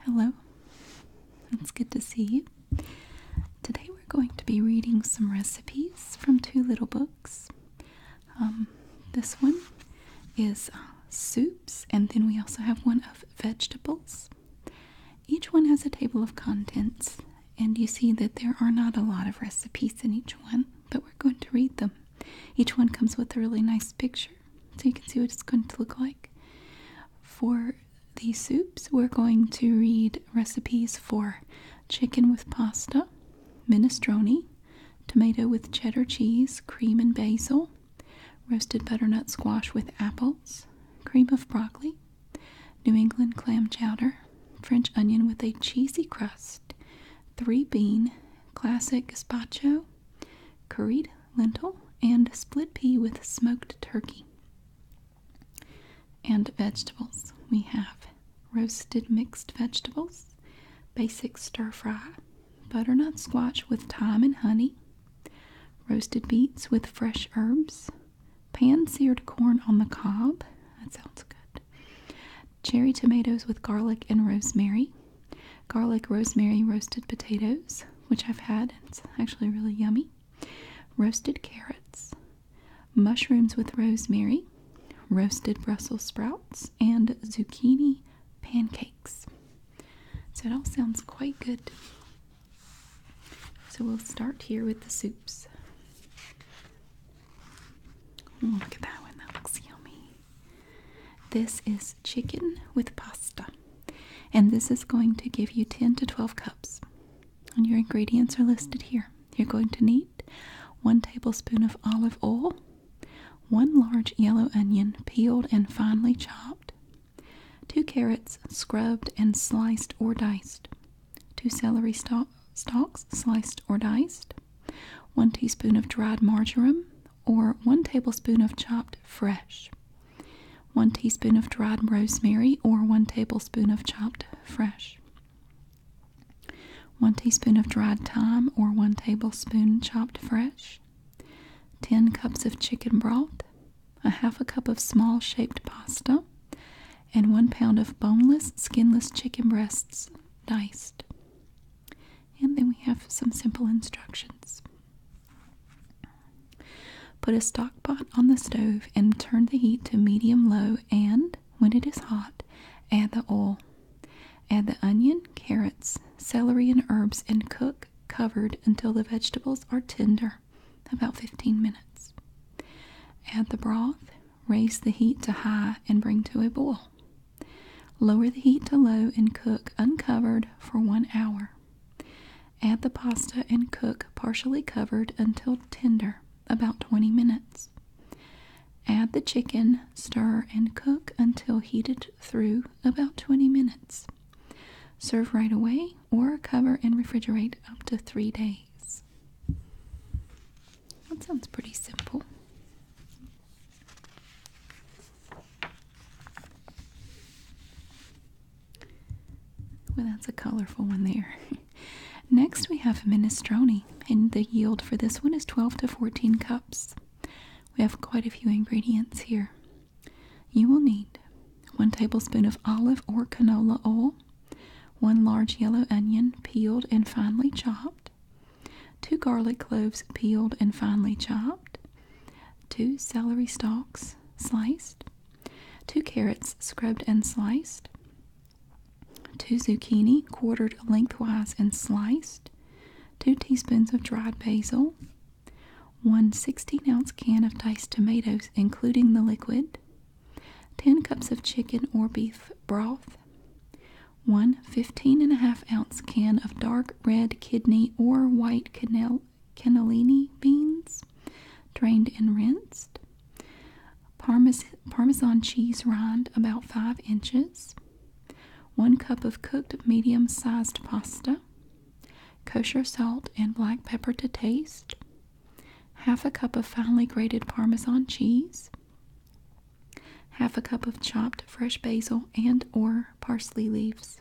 Hello, it's good to see you. Today we're going to be reading some recipes from two little books. Um, this one is uh, soups, and then we also have one of vegetables. Each one has a table of contents, and you see that there are not a lot of recipes in each one, but we're going to read them. Each one comes with a really nice picture so you can see what it's going to look like. For the soups, we're going to read recipes for chicken with pasta, minestrone, tomato with cheddar cheese, cream and basil, roasted butternut squash with apples, cream of broccoli, New England clam chowder, French onion with a cheesy crust, three bean, classic gazpacho, curried lentil, and split pea with smoked turkey. And vegetables. We have roasted mixed vegetables, basic stir fry, butternut squash with thyme and honey, roasted beets with fresh herbs, pan seared corn on the cob. That sounds good. Cherry tomatoes with garlic and rosemary, garlic rosemary roasted potatoes, which I've had, it's actually really yummy, roasted carrots, mushrooms with rosemary, roasted Brussels sprouts, and zucchini pancakes. So it all sounds quite good. So we'll start here with the soups. look at that one, that looks yummy. This is chicken with pasta, and this is going to give you 10 to 12 cups. And your ingredients are listed here. You're going to need one tablespoon of olive oil, one large yellow onion peeled and finely chopped, two carrots scrubbed and sliced or diced, two celery stalks sliced or diced, one teaspoon of dried marjoram, or 1 tablespoon of chopped fresh, 1 teaspoon of dried rosemary, or 1 tablespoon of chopped fresh, 1 teaspoon of dried thyme, or 1 tablespoon chopped fresh, 10 cups of chicken broth, a half a cup of small shaped pasta, and 1 pound of boneless, skinless chicken breasts diced and then we have some simple instructions. Put a stock pot on the stove and turn the heat to medium low, and when it is hot, add the oil. Add the onion, carrots, celery, and herbs and cook covered until the vegetables are tender, about 15 minutes. Add the broth, raise the heat to high, and bring to a boil. Lower the heat to low and cook uncovered for one hour. Add the pasta and cook partially covered until tender, about 20 minutes. Add the chicken, stir, and cook until heated through about 20 minutes. Serve right away or cover and refrigerate up to three days. That sounds pretty simple. Well, that's a colorful one there. Next, we have minestrone, and the yield for this one is 12 to 14 cups. We have quite a few ingredients here. You will need 1 tablespoon of olive or canola oil, 1 large yellow onion, peeled and finely chopped, 2 garlic cloves peeled and finely chopped, 2 celery stalks sliced, 2 carrots scrubbed and sliced, 2 zucchini quartered lengthwise and sliced, 2 teaspoons of dried basil, 1 16 ounce can of diced tomatoes, including the liquid, 10 cups of chicken or beef broth, one 15 and a ounce can of dark red kidney or white cannellini beans, drained and rinsed. Parmesan cheese rind, about 5 inches. 1 cup of cooked medium sized pasta. Kosher salt and black pepper to taste. Half a cup of finely grated Parmesan cheese half a cup of chopped fresh basil and or parsley leaves.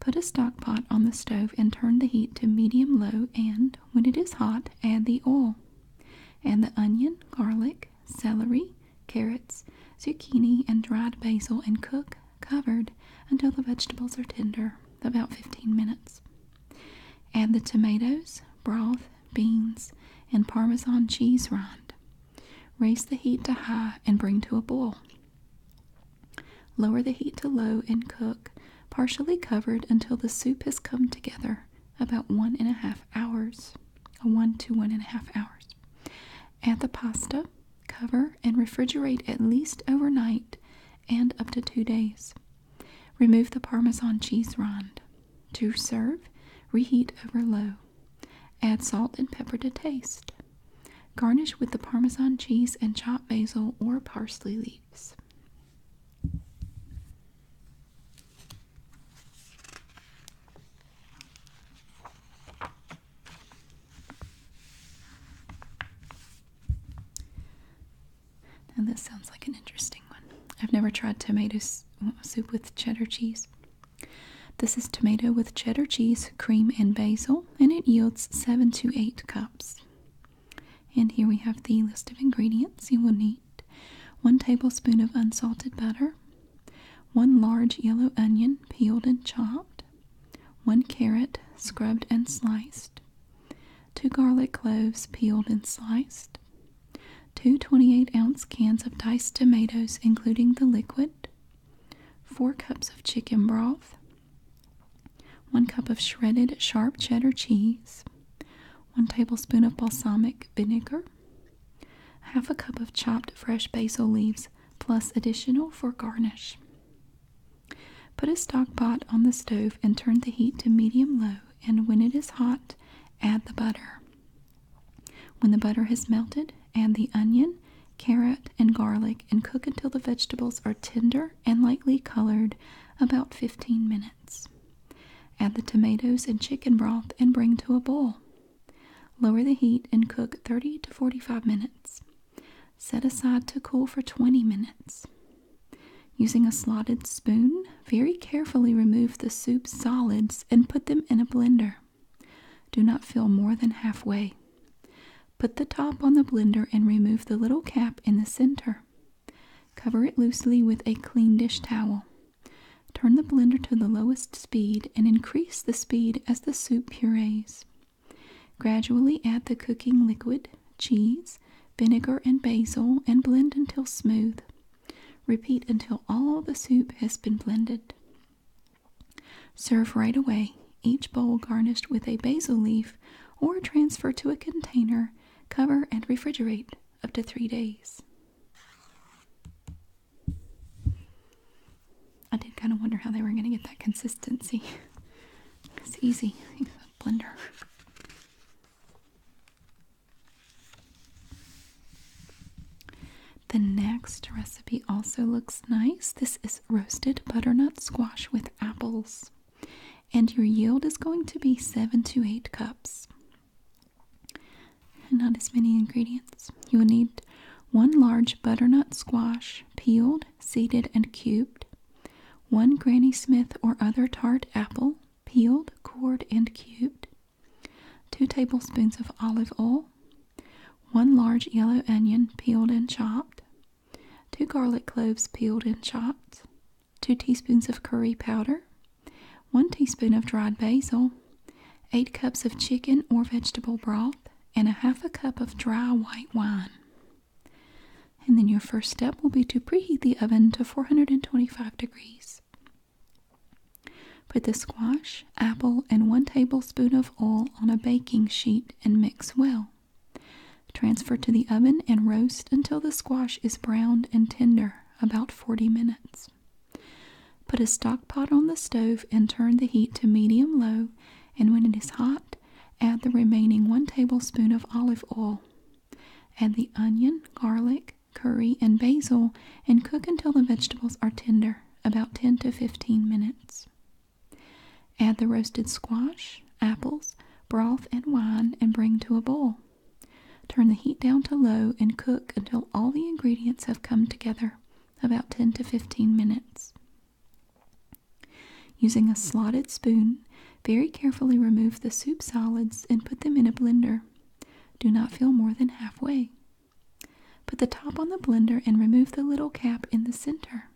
Put a stock pot on the stove and turn the heat to medium low and when it is hot add the oil and the onion, garlic, celery, carrots, zucchini and dried basil and cook covered until the vegetables are tender, about 15 minutes. Add the tomatoes, broth, beans, and parmesan cheese rind. Raise the heat to high and bring to a boil. Lower the heat to low and cook, partially covered until the soup has come together, about one and a half hours, one to one and a half hours. Add the pasta, cover, and refrigerate at least overnight and up to two days. Remove the Parmesan cheese rind. To serve, reheat over low. Add salt and pepper to taste. Garnish with the Parmesan cheese and chopped basil or parsley leaves. Now, this sounds like an interesting one. I've never tried tomato soup with cheddar cheese. This is tomato with cheddar cheese, cream, and basil, and it yields 7 to 8 cups. And here we have the list of ingredients you will need 1 tablespoon of unsalted butter, 1 large yellow onion, peeled and chopped, 1 carrot, scrubbed and sliced, 2 garlic cloves, peeled and sliced, two 28 ounce cans of diced tomatoes, including the liquid, four cups of chicken broth, one cup of shredded sharp cheddar cheese, one tablespoon of balsamic vinegar, half a cup of chopped fresh basil leaves, plus additional for garnish. Put a stock pot on the stove and turn the heat to medium low, and when it is hot, add the butter. When the butter has melted, add the onion, carrot, and garlic and cook until the vegetables are tender and lightly colored about 15 minutes. Add the tomatoes and chicken broth and bring to a boil. Lower the heat and cook 30 to 45 minutes. Set aside to cool for 20 minutes. Using a slotted spoon, very carefully remove the soup solids and put them in a blender. Do not fill more than halfway. Put the top on the blender and remove the little cap in the center. Cover it loosely with a clean dish towel. Turn the blender to the lowest speed and increase the speed as the soup purees. Gradually add the cooking liquid, cheese, vinegar, and basil and blend until smooth. Repeat until all the soup has been blended. Serve right away, each bowl garnished with a basil leaf, or transfer to a container, cover, and refrigerate up to three days. I did kind of wonder how they were going to get that consistency. it's easy. Use a blender. The next recipe also looks nice. This is roasted butternut squash with apples, and your yield is going to be 7 to 8 cups. Not as many ingredients. You will need one large butternut squash, peeled, seeded, and cubed, one Granny Smith or other tart apple, peeled, cored, and cubed, 2 tablespoons of olive oil, 1 large yellow onion peeled and chopped, 2 garlic cloves peeled and chopped, 2 teaspoons of curry powder, 1 teaspoon of dried basil, 8 cups of chicken or vegetable broth, and a half a cup of dry white wine. And then your first step will be to preheat the oven to 425 degrees. Put the squash, apple, and one tablespoon of oil on a baking sheet and mix well. Transfer to the oven and roast until the squash is browned and tender, about 40 minutes. Put a stock pot on the stove and turn the heat to medium low, and when it is hot, add the remaining 1 tablespoon of olive oil. Add the onion, garlic, curry, and basil and cook until the vegetables are tender, about 10 to 15 minutes. Add the roasted squash, apples, broth, and wine and bring to a boil. Turn the heat down to low and cook until all the ingredients have come together, about 10 to 15 minutes. Using a slotted spoon, very carefully remove the soup solids and put them in a blender do not fill more than halfway. Put the top on the blender and remove the little cap in the center.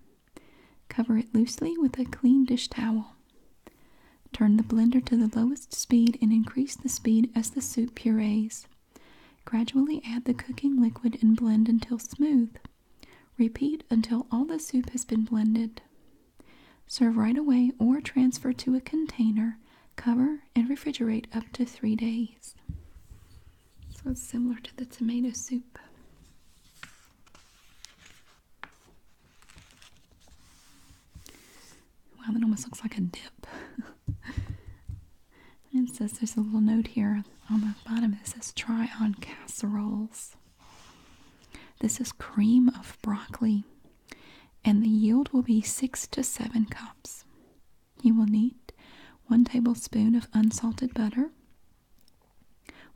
Cover it loosely with a clean dish towel. Turn the blender to the lowest speed and increase the speed as the soup purees. Gradually add the cooking liquid and blend until smooth. Repeat until all the soup has been blended. Serve right away or transfer to a container Cover and refrigerate up to three days. So it's similar to the tomato soup. Wow, that almost looks like a dip. and it says there's a little note here on the bottom that says try on casseroles. This is cream of broccoli and the yield will be six to seven cups. You will need one tablespoon of unsalted butter,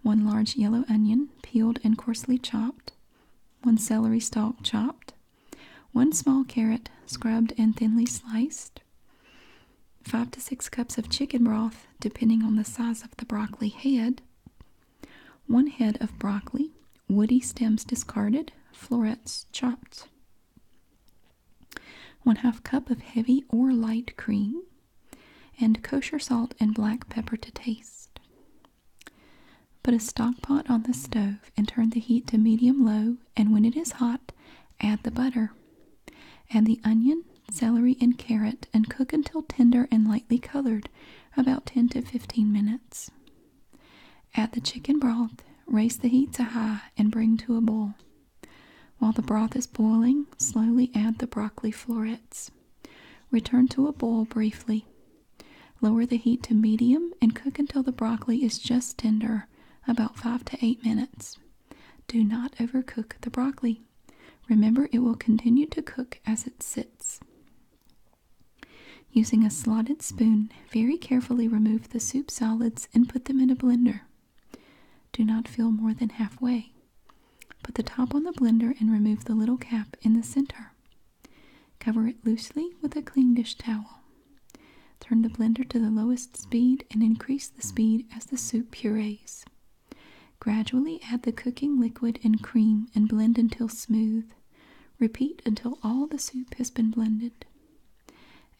one large yellow onion, peeled and coarsely chopped, one celery stalk chopped, one small carrot, scrubbed and thinly sliced, five to six cups of chicken broth, depending on the size of the broccoli head, one head of broccoli, Woody stems discarded, florets chopped. One half cup of heavy or light cream, and kosher salt and black pepper to taste. Put a stock pot on the stove and turn the heat to medium low, and when it is hot, add the butter. Add the onion, celery, and carrot and cook until tender and lightly colored, about 10 to 15 minutes. Add the chicken broth, raise the heat to high, and bring to a boil. While the broth is boiling, slowly add the broccoli florets. Return to a boil briefly. Lower the heat to medium and cook until the broccoli is just tender, about 5 to 8 minutes. Do not overcook the broccoli. Remember, it will continue to cook as it sits. Using a slotted spoon, very carefully remove the soup solids and put them in a blender. Do not fill more than halfway. Put the top on the blender and remove the little cap in the center. Cover it loosely with a clean dish towel. Turn the blender to the lowest speed and increase the speed as the soup purees. Gradually add the cooking liquid and cream and blend until smooth. Repeat until all the soup has been blended.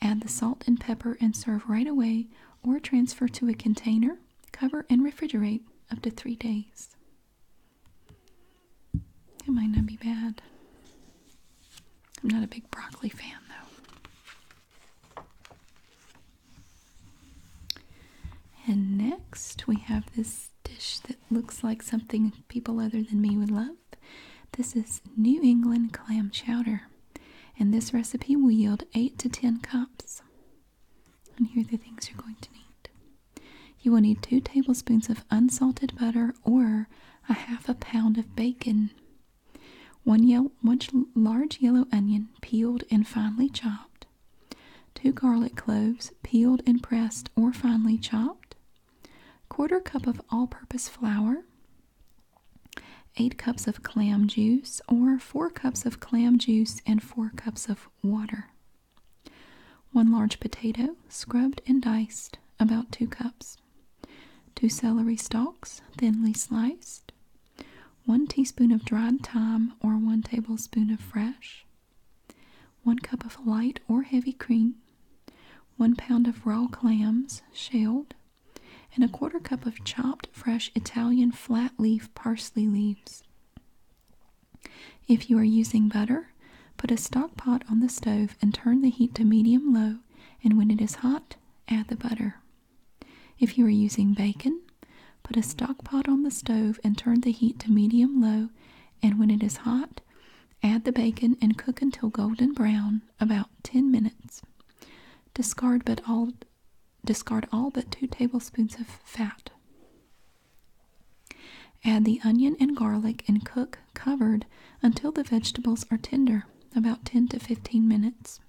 Add the salt and pepper and serve right away or transfer to a container, cover, and refrigerate up to three days. It might not be bad. I'm not a big broccoli fan though. And next we have this dish that looks like something people other than me would love this is New England clam chowder, and this recipe will yield 8 to 10 cups. And here are the things you're going to need you will need 2 tablespoons of unsalted butter or a half a pound of bacon, one, yellow, one large yellow onion peeled and finely chopped, 2 garlic cloves peeled and pressed or finely chopped quarter cup of all-purpose flour, 8 cups of clam juice or 4 cups of clam juice and 4 cups of water. 1 large potato, scrubbed and diced, about 2 cups. 2 celery stalks, thinly sliced. 1 teaspoon of dried thyme or 1 tablespoon of fresh. 1 cup of light or heavy cream one pound of raw clams, shelled, and a quarter cup of chopped fresh Italian flat leaf parsley leaves. If you are using butter, put a stock pot on the stove and turn the heat to medium low, and when it is hot, add the butter. If you are using bacon, put a stock pot on the stove and turn the heat to medium low, and when it is hot, Add the bacon and cook until golden brown, about 10 minutes. Discard but all discard all but 2 tablespoons of fat. Add the onion and garlic and cook covered until the vegetables are tender, about 10 to 15 minutes.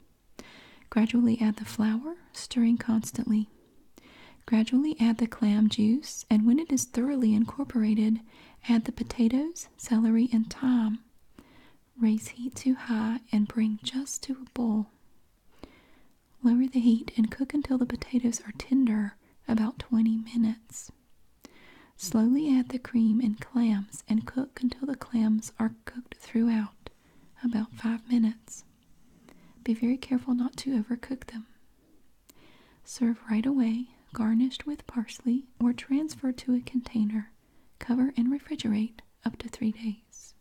Gradually add the flour, stirring constantly. Gradually add the clam juice, and when it is thoroughly incorporated, Add the potatoes, celery, and thyme. Raise heat to high and bring just to a boil. Lower the heat and cook until the potatoes are tender, about 20 minutes. Slowly add the cream and clams and cook until the clams are cooked throughout, about 5 minutes. Be very careful not to overcook them. Serve right away, garnished with parsley, or transfer to a container. Cover and refrigerate up to three days.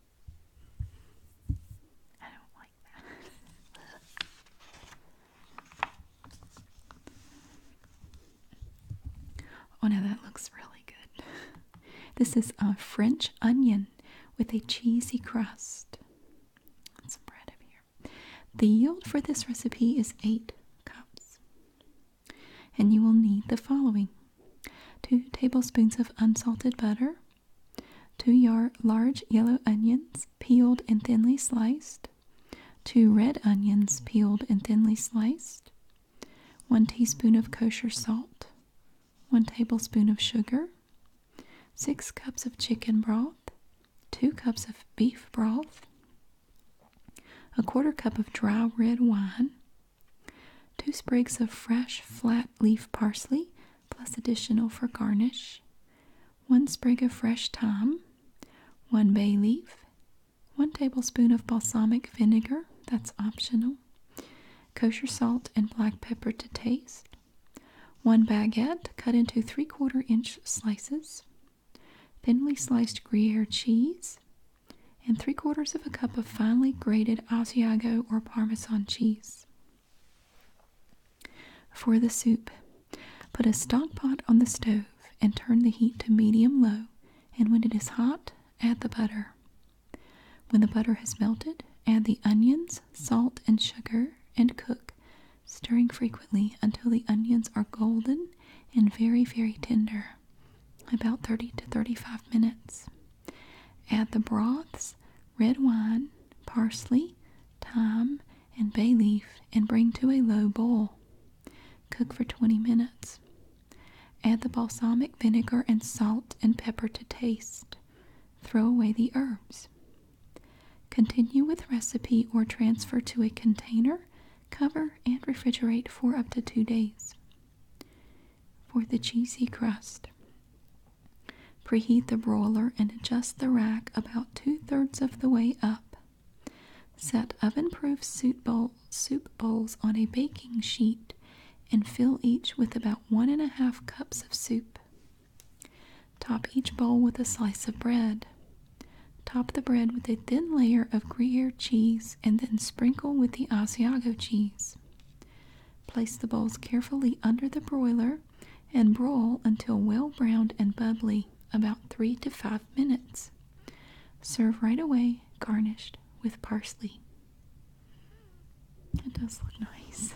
oh, now that looks really good. This is a French onion with a cheesy crust. Some bread up here. The yield for this recipe is 8 cups. And you will need the following 2 tablespoons of unsalted butter, 2 large yellow onions, peeled and thinly sliced, 2 red onions, peeled and thinly sliced, 1 teaspoon of kosher salt, 1 tablespoon of sugar, 6 cups of chicken broth. 2 cups of beef broth, a quarter cup of dry red wine, 2 sprigs of fresh flat leaf parsley, plus additional for garnish, 1 sprig of fresh thyme, 1 bay leaf, 1 tablespoon of balsamic vinegar, that's optional, kosher salt and black pepper to taste, 1 baguette cut into 3 quarter inch slices, thinly sliced Gruyere cheese, and three quarters of a cup of finely grated Asiago or Parmesan cheese. For the soup, put a stock pot on the stove and turn the heat to medium low, and when it is hot, add the butter. When the butter has melted, add the onions, salt, and sugar, and cook stirring frequently until the onions are golden and very, very tender, about 30 to 35 minutes. Add the broths, red wine, parsley, thyme, and bay leaf and bring to a low boil. Cook for 20 minutes. Add the balsamic vinegar and salt and pepper to taste. Throw away the herbs. Continue with recipe or transfer to a container, cover, and refrigerate for up to two days. For the cheesy crust, preheat the broiler and adjust the rack about two thirds of the way up. Set oven proof soup, soup bowls on a baking sheet and fill each with about one and a half cups of soup. Top each bowl with a slice of bread. Top the bread with a thin layer of Gruyere cheese and then sprinkle with the Asiago cheese. Place the bowls carefully under the broiler and broil until well browned and bubbly, about 3 to 5 minutes. Serve right away, garnished with parsley. It does look nice.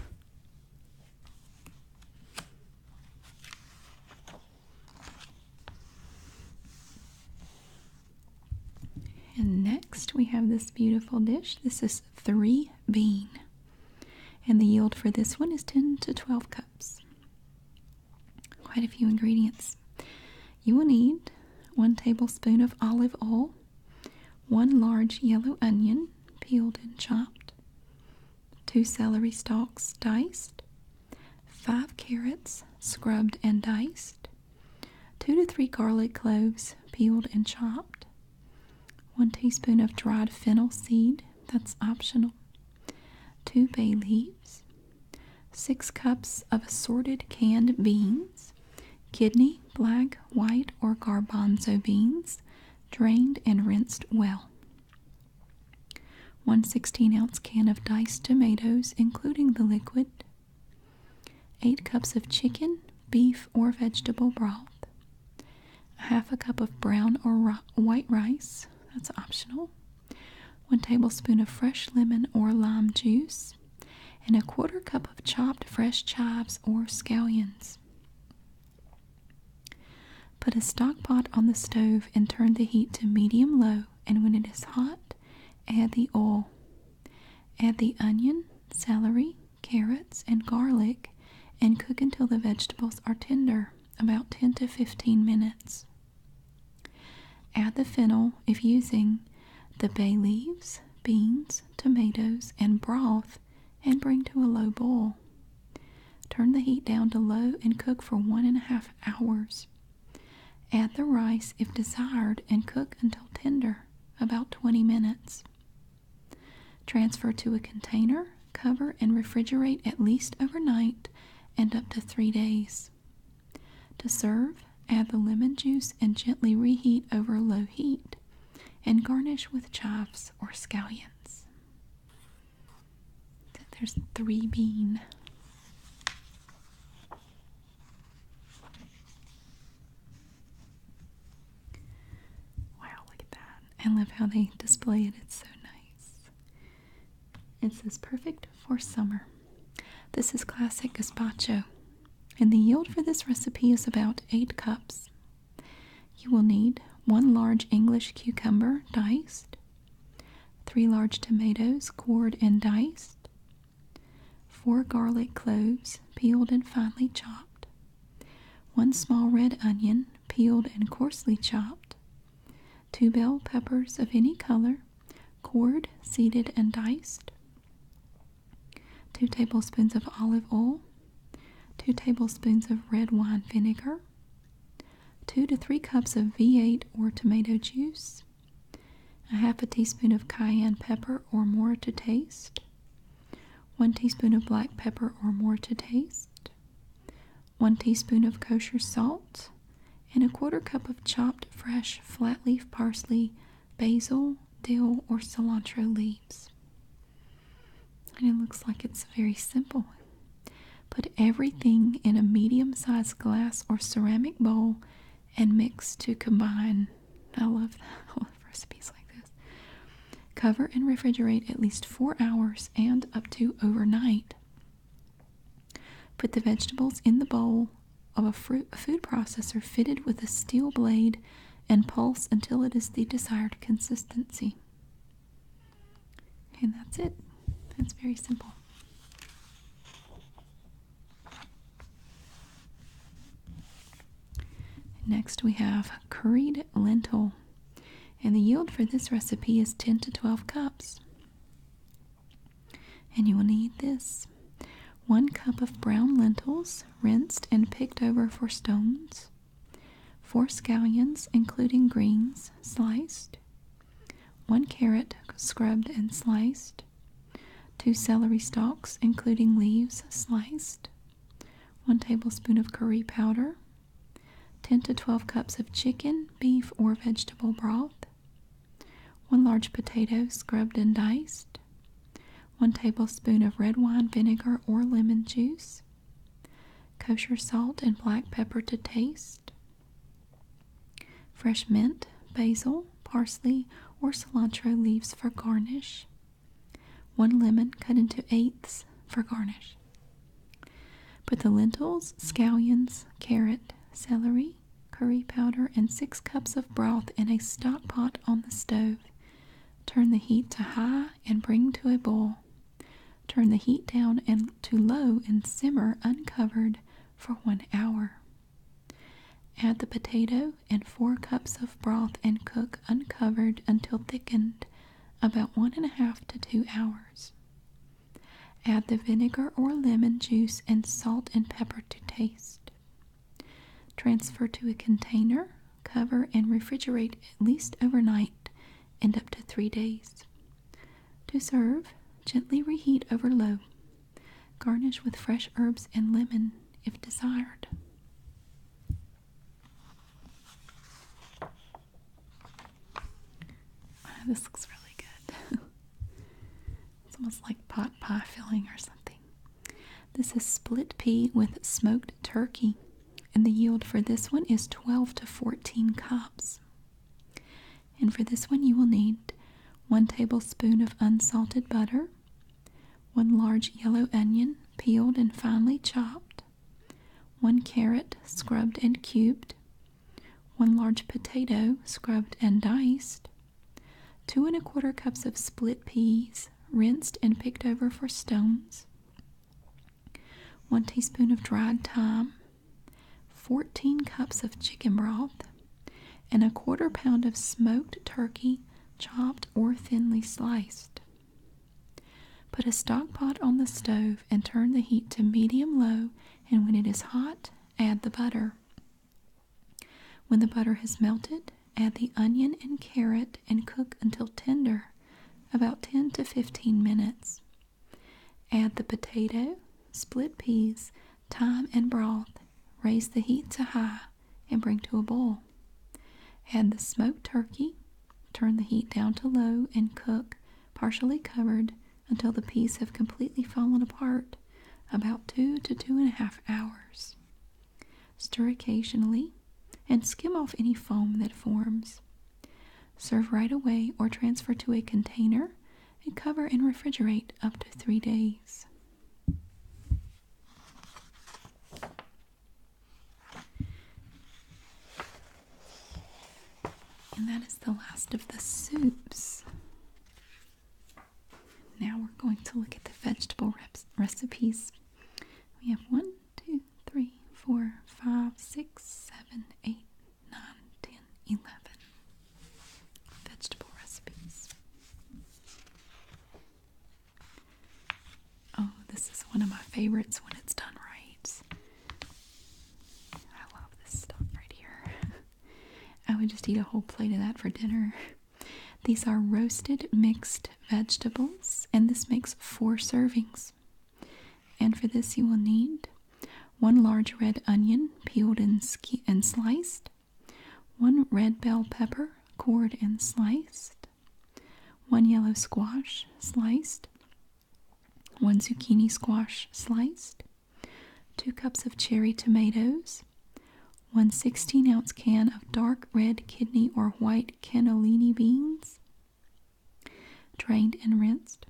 And next we have this beautiful dish. This is three bean. And the yield for this one is 10 to 12 cups. Quite a few ingredients. You will need one tablespoon of olive oil, one large yellow onion, peeled and chopped, two celery stalks diced, five carrots scrubbed and diced, two to three garlic cloves peeled and chopped, one teaspoon of dried fennel seed, that's optional, two bay leaves, six cups of assorted canned beans, kidney, black, white, or garbanzo beans, drained and rinsed well. 1 16 ounce can of diced tomatoes, including the liquid, 8 cups of chicken, beef, or vegetable broth, half a cup of brown or white rice, that's optional, 1 tablespoon of fresh lemon or lime juice, and a quarter cup of chopped fresh chives or scallions. Put a stock pot on the stove and turn the heat to medium low, and when it is hot, add the oil. Add the onion, celery, carrots, and garlic and cook until the vegetables are tender, about 10 to 15 minutes. Add the fennel, if using, the bay leaves, beans, tomatoes, and broth, and bring to a low boil. Turn the heat down to low and cook for one and a half hours. Add the rice if desired and cook until tender, about 20 minutes. Transfer to a container, cover, and refrigerate at least overnight and up to three days. To serve, add the lemon juice and gently reheat over low heat and garnish with chives or scallions. There's three bean. Wow, look at that. I love how they display it. It's so nice. It says perfect for summer. This is classic gazpacho, and the yield for this recipe is about 8 cups you will need one large English cucumber diced, three large tomatoes cored and diced, four garlic cloves peeled and finely chopped, one small red onion peeled and coarsely chopped, two bell peppers of any color cored, seeded, and diced, two tablespoons of olive oil, two tablespoons of red wine vinegar, 2 to 3 cups of V8 or tomato juice, a half a teaspoon of cayenne pepper or more to taste, 1 teaspoon of black pepper or more to taste, 1 teaspoon of kosher salt, and a quarter cup of chopped fresh flat leaf parsley, basil, dill, or cilantro leaves. And it looks like it's very simple. Put everything in a medium sized glass or ceramic bowl and mix to combine. I love recipes like this. Cover and refrigerate at least four hours and up to overnight. Put the vegetables in the bowl of a food processor fitted with a steel blade and pulse until it is the desired consistency. And that's it. That's very simple. Next, we have curried lentil, and the yield for this recipe is 10 to 12 cups. And you will need this one cup of brown lentils, rinsed and picked over for stones, 4 scallions, including greens, sliced. 1 carrot, scrubbed and sliced. 2 celery stalks, including leaves, sliced. 1 tablespoon of curry powder. 10 to 12 cups of chicken, beef, or vegetable broth. 1 large potato, scrubbed and diced. 1 tablespoon of red wine vinegar or lemon juice. Kosher salt and black pepper to taste. Fresh mint, basil, parsley, or cilantro leaves for garnish. One lemon cut into eighths for garnish. Put the lentils, scallions, carrot, celery, curry powder, and six cups of broth in a stockpot on the stove. Turn the heat to high and bring to a boil. Turn the heat down to low and simmer uncovered for one hour. Add the potato and four cups of broth and cook uncovered until thickened, about one and a half to two hours. Add the vinegar or lemon juice and salt and pepper to taste. Transfer to a container, cover, and refrigerate at least overnight and up to three days. To serve, gently reheat over low. Garnish with fresh herbs and lemon if desired. Ah, this looks really good. it's almost like pot pie filling or something. This is split pea with smoked turkey. And the yield for this one is 12 to 14 cups. And for this one, you will need one tablespoon of unsalted butter, one large yellow onion, peeled and finely chopped, one carrot, scrubbed and cubed, one large potato, scrubbed and diced, two and a quarter cups of split peas, rinsed and picked over for stones, 1 teaspoon of dried thyme, 14 cups of chicken broth, and a quarter pound of smoked turkey chopped or thinly sliced. Put a stockpot on the stove and turn the heat to medium low, and when it is hot, add the butter. When the butter has melted, add the onion and carrot and cook until tender about 10 to 15 minutes. Add the potato, split peas, thyme, and broth. Raise the heat to high and bring to a boil. Add the smoked turkey, turn the heat down to low, and cook, partially covered, until the peas have completely fallen apart, about two to two and a half hours. Stir occasionally and skim off any foam that forms. Serve right away or transfer to a container and cover and refrigerate up to three days. And that is the last of the soups. Now we're going to look at the vegetable recipes. We have one two, three, four, five, six, seven, eight, nine, ten, eleven vegetable recipes. Oh, this is one of my favorites when it's done right. I love this stuff right here. I would just eat a whole plate of that for dinner. These are roasted mixed vegetables, and this makes four servings. And for this, you will need one large red onion, peeled and, sliced, one red bell pepper, cored and sliced, one yellow squash, sliced, one zucchini squash, sliced, two cups of cherry tomatoes, one ounce can of dark red kidney or white cannellini beans, drained and rinsed,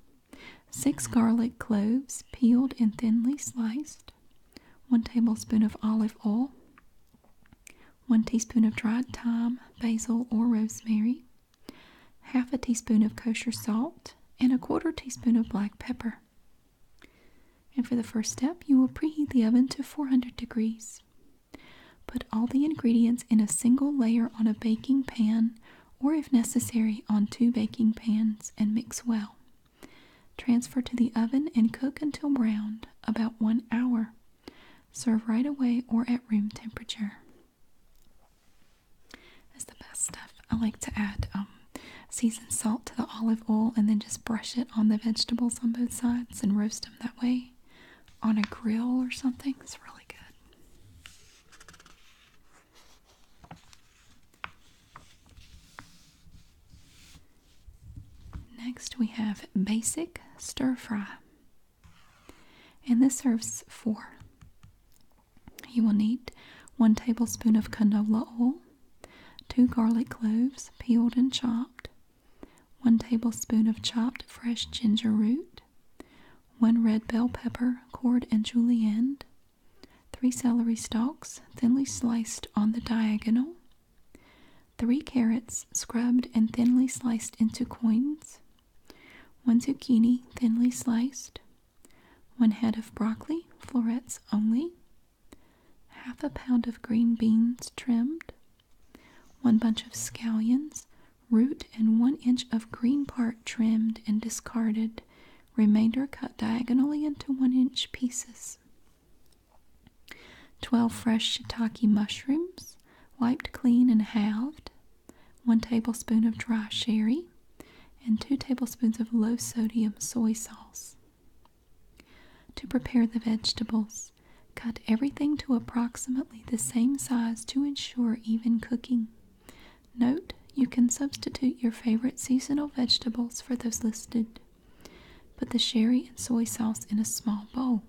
six mm-hmm. garlic cloves peeled and thinly sliced, one tablespoon of olive oil, one teaspoon of dried thyme, basil, or rosemary, half a teaspoon of kosher salt, and a quarter teaspoon of black pepper. And for the first step, you will preheat the oven to 400 degrees. Put all the ingredients in a single layer on a baking pan or, if necessary, on two baking pans and mix well. Transfer to the oven and cook until browned, about one hour. Serve right away or at room temperature. That's the best stuff. I like to add um, seasoned salt to the olive oil and then just brush it on the vegetables on both sides and roast them that way on a grill or something. It's really good. Next, we have basic stir fry, and this serves four. You will need one tablespoon of canola oil, two garlic cloves peeled and chopped, 1 tablespoon of chopped fresh ginger root, 1 red bell pepper, cored and julienne, 3 celery stalks, thinly sliced on the diagonal, 3 carrots, scrubbed and thinly sliced into coins, 1 zucchini, thinly sliced, 1 head of broccoli, florets only, half a pound of green beans trimmed, one bunch of scallions, root and one inch of green part trimmed and discarded, remainder cut diagonally into one inch pieces. 12 fresh shiitake mushrooms, wiped clean and halved, 1 tablespoon of dry sherry, and 2 tablespoons of low sodium soy sauce. To prepare the vegetables, Cut everything to approximately the same size to ensure even cooking. Note, you can substitute your favorite seasonal vegetables for those listed. Put the sherry and soy sauce in a small bowl.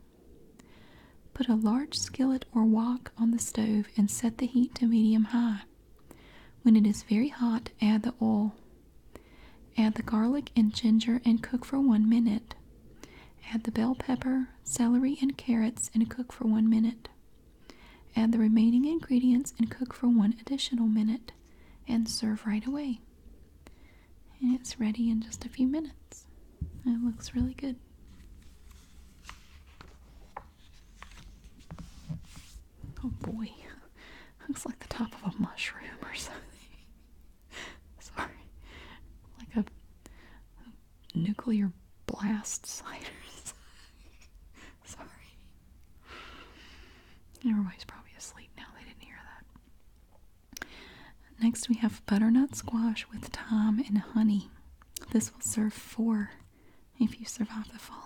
Put a large skillet or wok on the stove and set the heat to medium high. When it is very hot, add the oil. Add the garlic and ginger and cook for one minute. Add the bell pepper, celery, and carrots and cook for one minute. Add the remaining ingredients and cook for one additional minute and serve right away. And it's ready in just a few minutes. It looks really good. Oh boy, looks like the top of a mushroom or something. Sorry, like a nuclear blast sliders. Sorry. Everybody's probably asleep now. They didn't hear that. Next, we have butternut squash with thyme and honey. This will serve four if you survive the fallout.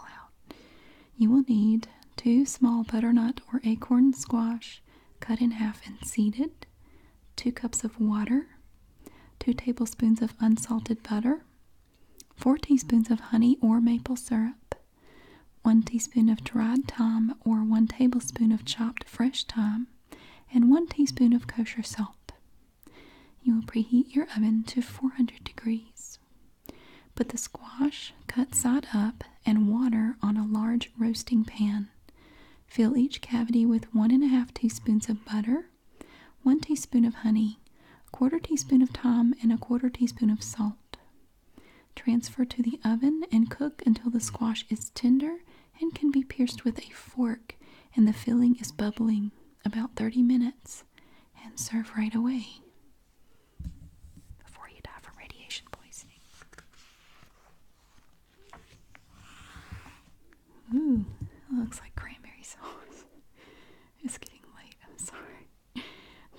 You will need two small butternut or acorn squash cut in half and seeded, 2 cups of water, 2 tablespoons of unsalted butter, 4 teaspoons of honey or maple syrup, 1 teaspoon of dried thyme or 1 tablespoon of chopped fresh thyme, and 1 teaspoon of kosher salt. You will preheat your oven to 400 degrees. Put the squash cut side up and water on a large roasting pan. Fill each cavity with one and a half teaspoons of butter, one teaspoon of honey, a quarter teaspoon of thyme, and a quarter teaspoon of salt. Transfer to the oven and cook until the squash is tender and can be pierced with a fork and the filling is bubbling about 30 minutes and serve right away before you die from radiation poisoning. Ooh, looks like cranberry sauce. it's getting late, I'm sorry.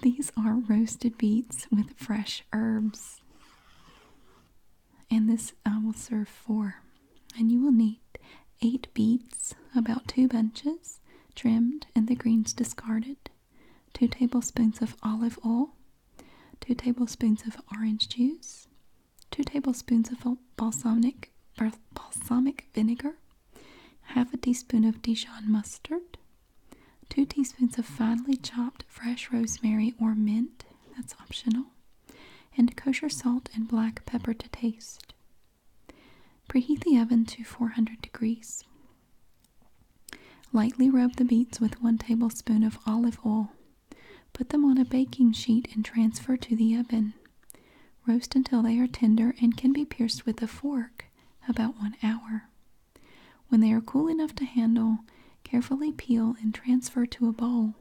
These are roasted beets with fresh herbs. And this uh, will serve four. And you will need eight beets, about two bunches, trimmed and the greens discarded, two tablespoons of olive oil, two tablespoons of orange juice, 2 tablespoons of balsamic, balsamic vinegar, half a teaspoon of Dijon mustard, 2 teaspoons of finely chopped fresh rosemary or mint, that's optional, and kosher salt and black pepper to taste. Preheat the oven to 400 degrees. Lightly rub the beets with 1 tablespoon of olive oil Put them on a baking sheet and transfer to the oven. Roast until they are tender and can be pierced with a fork about one hour. When they are cool enough to handle, carefully peel and transfer to a bowl.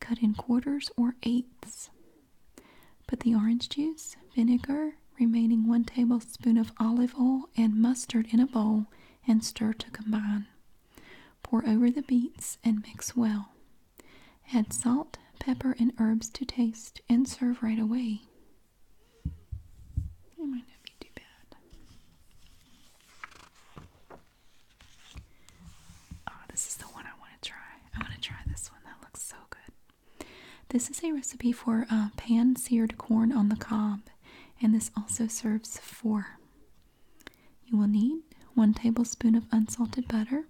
Cut in quarters or eighths. Put the orange juice, vinegar, remaining one tablespoon of olive oil, and mustard in a bowl and stir to combine. Pour over the beets and mix well. Add salt, pepper, and herbs to taste and serve right away. Oh, this is the one I want to try. I want to try this one. That looks so good. This is a recipe for uh, pan seared corn on the cob, and this also serves four. You will need 1 tablespoon of unsalted butter,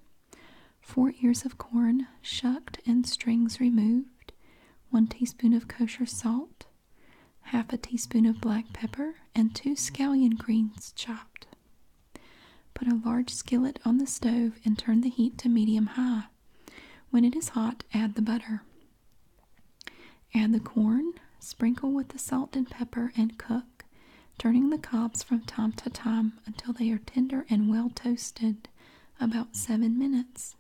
4 ears of corn shucked and strings removed, 1 teaspoon of kosher salt, half a teaspoon of black pepper, and 2 scallion greens chopped. Put a large skillet on the stove and turn the heat to medium high. When it is hot, add the butter. Add the corn, sprinkle with the salt and pepper, and cook, turning the cobs from time to time until they are tender and well toasted, about seven minutes.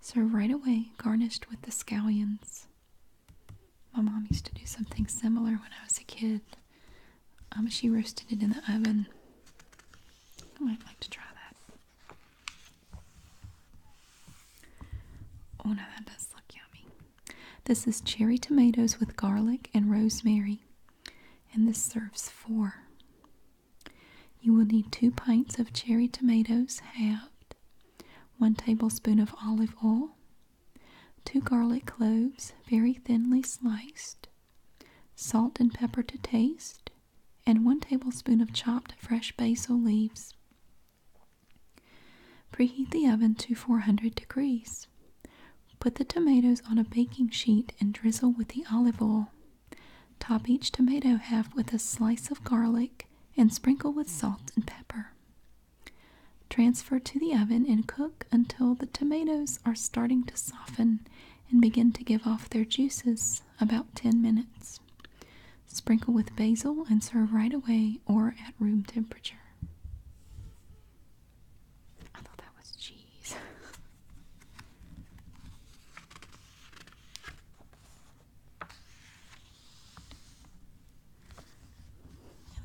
Serve right away, garnished with the scallions. My mom used to do something similar when I was a kid. Um, she roasted it in the oven. I might like to try that. Oh no, that does look yummy. This is cherry tomatoes with garlic and rosemary, and this serves four. You will need two pints of cherry tomatoes halved, one tablespoon of olive oil, two garlic cloves very thinly sliced, salt and pepper to taste, and one tablespoon of chopped fresh basil leaves. Preheat the oven to 400 degrees. Put the tomatoes on a baking sheet and drizzle with the olive oil. Top each tomato half with a slice of garlic and sprinkle with salt and pepper. Transfer to the oven and cook until the tomatoes are starting to soften and begin to give off their juices about 10 minutes. Sprinkle with basil and serve right away or at room temperature. I thought that was cheese.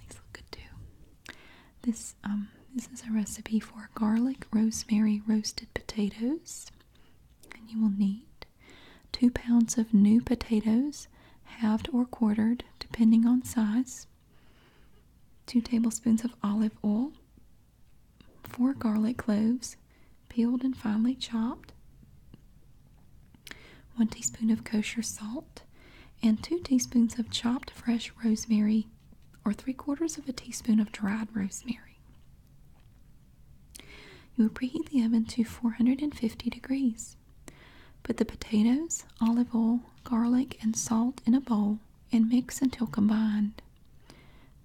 these look good too. This um this is a recipe for garlic rosemary roasted potatoes, and you will need two pounds of new potatoes, halved or quartered, depending on size, 2 tablespoons of olive oil, 4 garlic cloves, peeled and finely chopped, 1 teaspoon of kosher salt, and 2 teaspoons of chopped fresh rosemary or 3 quarters of a teaspoon of dried rosemary. You will preheat the oven to 450 degrees. Put the potatoes, olive oil, garlic, and salt in a bowl and mix until combined.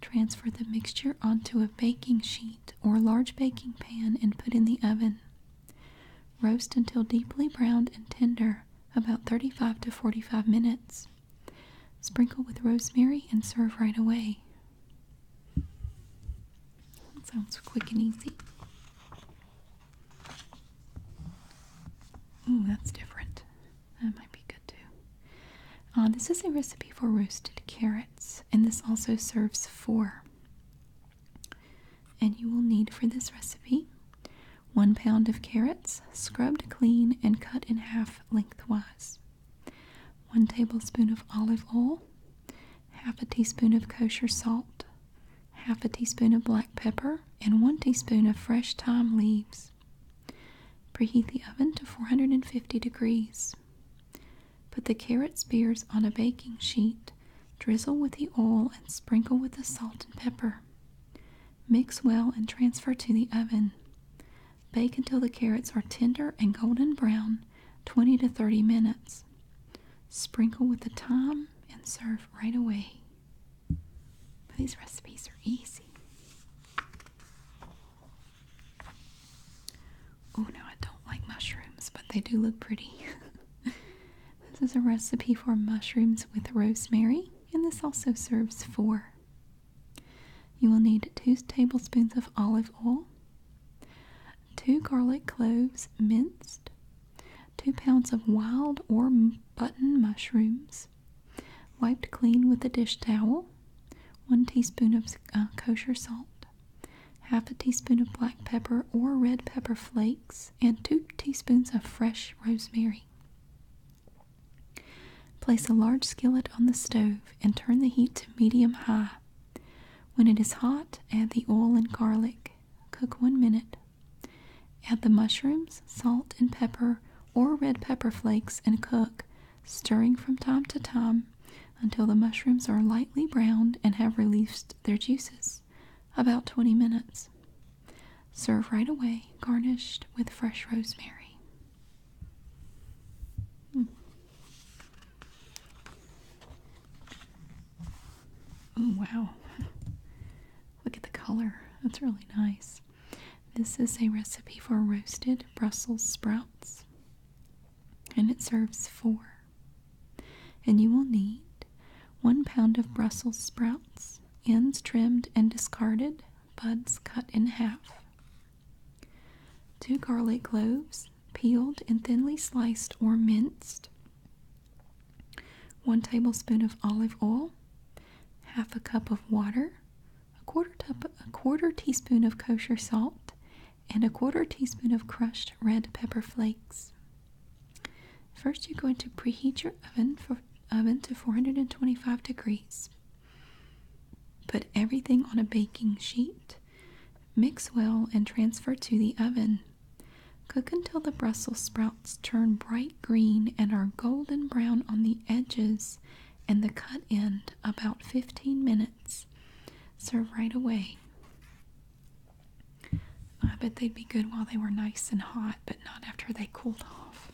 Transfer the mixture onto a baking sheet or large baking pan and put in the oven. Roast until deeply browned and tender, about 35 to 45 minutes. Sprinkle with rosemary and serve right away. That sounds quick and easy. Ooh, that's different. That might be good too. Uh, this is a recipe for roasted carrots, and this also serves four. And you will need for this recipe one pound of carrots, scrubbed clean and cut in half lengthwise, one tablespoon of olive oil, half a teaspoon of kosher salt, half a teaspoon of black pepper, and one teaspoon of fresh thyme leaves. Preheat the oven to 450 degrees. Put the carrot spears on a baking sheet, drizzle with the oil, and sprinkle with the salt and pepper. Mix well and transfer to the oven. Bake until the carrots are tender and golden brown, 20 to 30 minutes. Sprinkle with the thyme and serve right away. these recipes are easy. Oh, no, I don't like mushrooms, but they do look pretty. this is a recipe for mushrooms with rosemary, and this also serves four. You will need two tablespoons of olive oil, two garlic cloves minced, 2 pounds of wild or button mushrooms, wiped clean with a dish towel, 1 teaspoon of uh, kosher salt, half a teaspoon of black pepper or red pepper flakes, and 2 teaspoons of fresh rosemary. Place a large skillet on the stove and turn the heat to medium high. When it is hot, add the oil and garlic. Cook one minute. Add the mushrooms, salt, and pepper or red pepper flakes and cook, stirring from time to time until the mushrooms are lightly browned and have released their juices, about 20 minutes. Serve right away, garnished with fresh rosemary. Hmm. Oh, wow. Look at the color. That's really nice. This is a recipe for roasted Brussels sprouts, and it serves four. And you will need one pound of Brussels sprouts, ends trimmed and discarded, buds cut in half, two garlic cloves, peeled and thinly sliced or minced, 1 tablespoon of olive oil, half a cup of water, a quarter, teaspoon of kosher salt, and a quarter teaspoon of crushed red pepper flakes. First, you're going to preheat your oven to 425 degrees. Put everything on a baking sheet. Mix well and transfer to the oven. Cook until the Brussels sprouts turn bright green and are golden brown on the edges and the cut end about 15 minutes. Serve right away. I bet they'd be good while they were nice and hot, but not after they cooled off.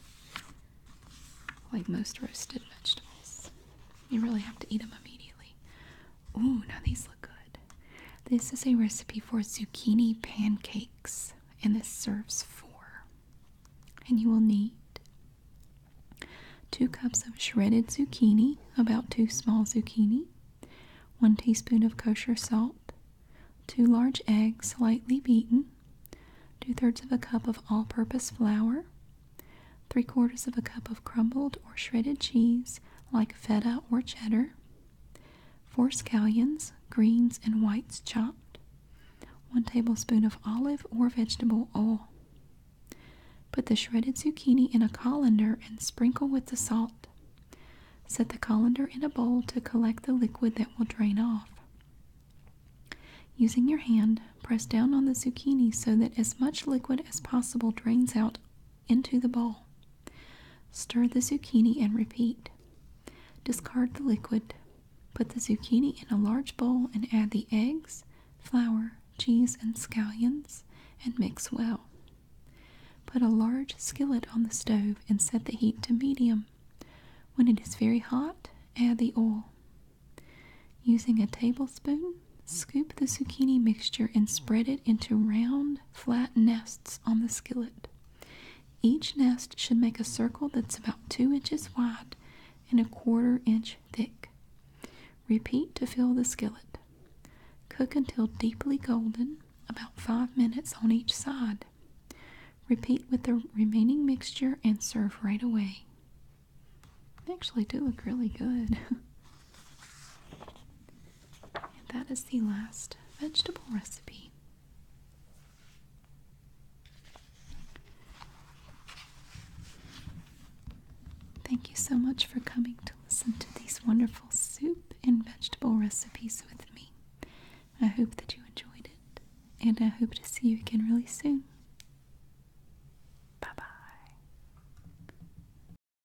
Like most roasted vegetables, you really have to eat them immediately, Ooh, now these look good. This is a recipe for zucchini pancakes, and this serves four. And you will need two cups of shredded zucchini, about two small zucchini, one teaspoon of kosher salt, two large eggs lightly beaten, two thirds of a cup of all purpose flour, three quarters of a cup of crumbled or shredded cheese like feta or cheddar, 4 scallions, greens and whites chopped, 1 tablespoon of olive or vegetable oil. Put the shredded zucchini in a colander and sprinkle with the salt. Set the colander in a bowl to collect the liquid that will drain off. Using your hand, press down on the zucchini so that as much liquid as possible drains out into the bowl. Stir the zucchini and repeat. Discard the liquid. Put the zucchini in a large bowl and add the eggs, flour, cheese, and scallions and mix well. Put a large skillet on the stove and set the heat to medium. When it is very hot, add the oil. Using a tablespoon, scoop the zucchini mixture and spread it into round flat nests on the skillet. Each nest should make a circle that's about 2 inches wide and a quarter inch thick. Repeat to fill the skillet. Cook until deeply golden, about 5 minutes on each side. Repeat with the remaining mixture and serve right away. They actually do look really good. And that is the last vegetable recipe. Thank you so much for coming to listen to these wonderful soup and vegetable recipes with me. I hope that you enjoyed it, and I hope to see you again really soon. Bye bye.